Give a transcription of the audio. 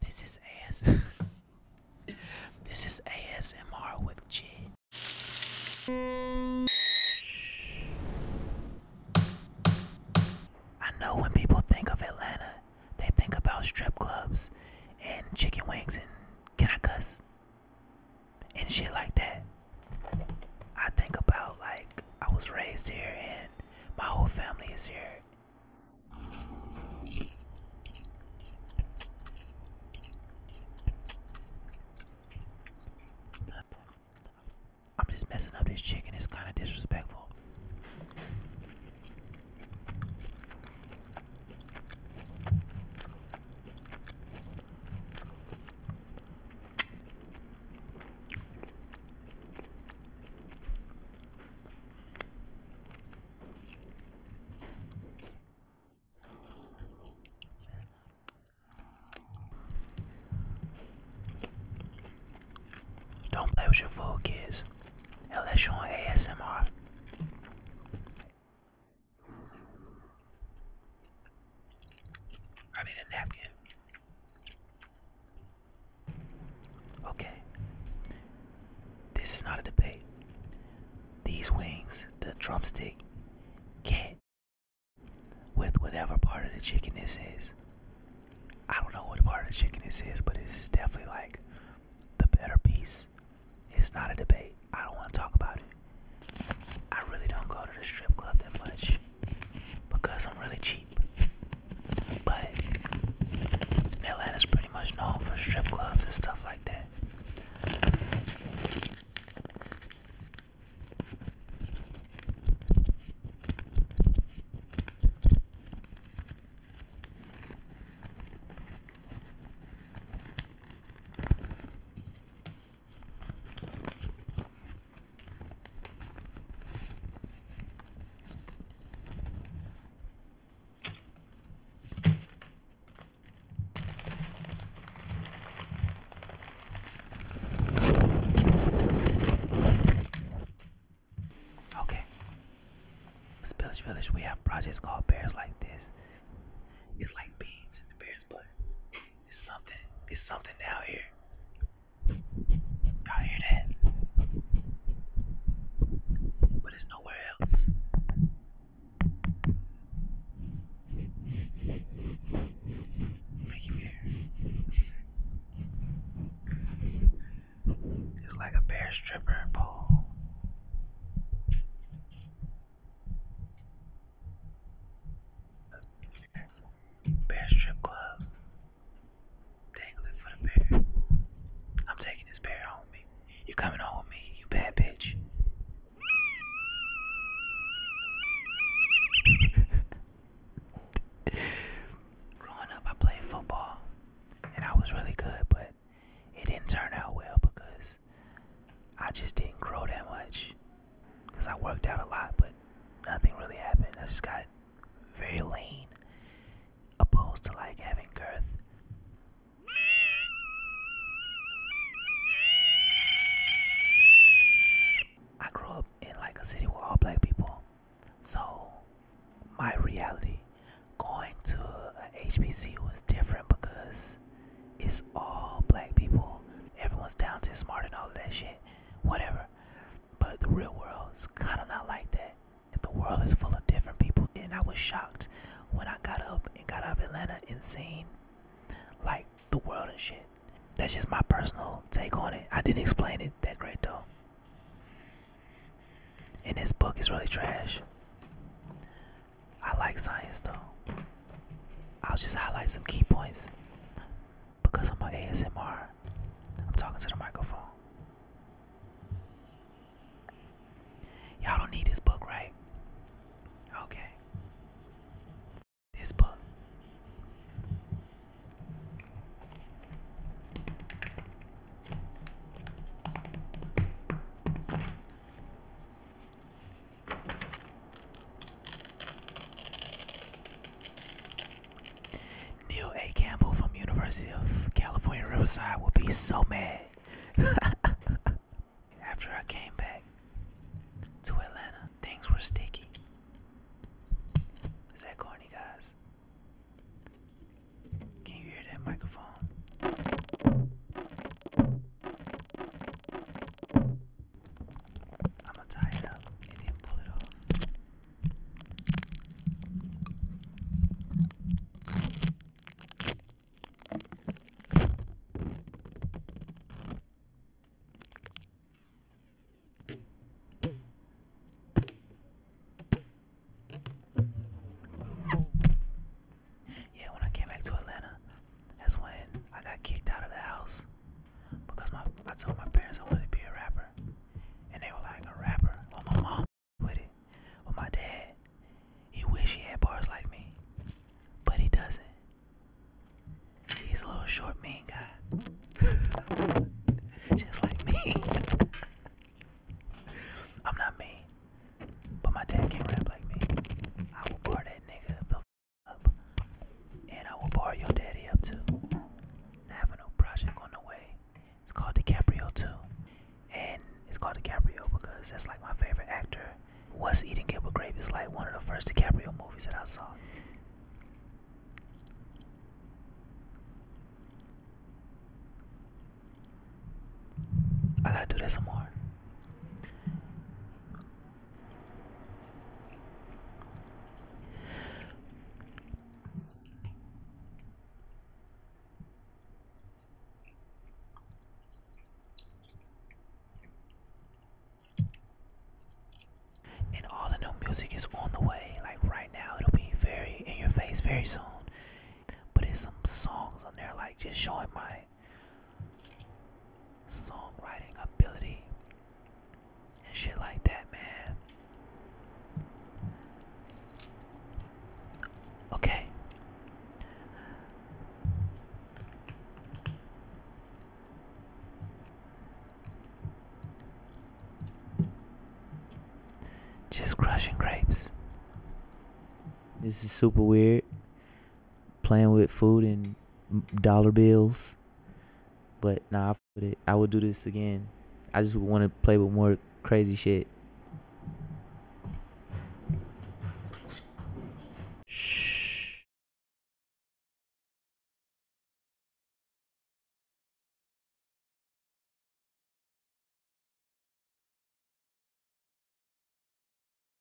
This is AS. this is ASMR with G. I know when people think of Atlanta, they think about strip clubs and chicken wings and can And shit like that. I think about like I was raised here and my whole family is here I'm just messing up this chicken. It's kind of disrespectful. Don't play with your food, kids, unless you're on ASMR. I need a napkin. Okay. This is not a debate. These wings, the drumstick, get with whatever part of the chicken this is. I don't know what part of the chicken this is, but this is definitely like the better piece. It's not a debate. I don't want to talk about it. I really don't go to the strip club that much because I'm really cheap. But Atlanta's pretty much known for strip clubs and stuff like that. Okay. Spillage Village, we have projects called Bears Like This. It's like beans in the bear's butt. It's something. It's something out here. Y'all hear that? But it's nowhere else. Freaky bear. it's like a bear stripper pole. Bear Strip Club. Dangling for the bear. I'm taking this bear home with me. You coming home with me, you bad bitch. Growing up, I played football, and I was really good, but it didn't turn out well because I just didn't grow that much. Because I worked out a lot, but nothing really happened. I just got very lean, opposed to like having girth. I grew up in like a city with all black people, so my reality going to a HBCU was different because it's all black people. Everyone's talented, smart, and all that shit. Whatever. But the real world is kind of not like that. If the world is full of different people, and I was shocked when I got up and got out of Atlanta and seen like the world and shit. That's just my personal take on it. I didn't explain it that great though. And this book is really trash. I like science though. I'll just highlight some key points because I'm an ASMR. I'm talking to the microphone. Y'all don't need this book, right? Okay. This book. Neil A. Campbell from University of California Riverside will be so mad. After I came back to Atlanta, things were sticky. Is that corny, guys? Can you hear that microphone? I'm gonna tie it up and then pull it off. Yeah, when I came back to Atlanta, that's when I got kicked out of the house because my I told my parents I wanted to be a rapper, and they were like a rapper. Well, my mom with it, but my dad, he wish he had bars like me, but he doesn't. He's a little short, mean guy, just like me. I'm not mean, but my dad can't rap like me. I will bar that nigga though." and I will bar your daddy up too. And I a project on the way. It's called DiCaprio 2. And it's called DiCaprio because that's like my favorite actor. What's Eating Gilbert Grape like one of the first DiCaprio movies that I saw. I gotta do that some more. And all the new music is on the way. Like right now, it'll be very in your face very soon. But there's some songs on there like just showing my songwriting ability and shit like that, man. Okay. Just crushing grapes. This is super weird playing with food and dollar bills. But nah, I put it. I would do this again. I just want to play with more crazy shit. Shh.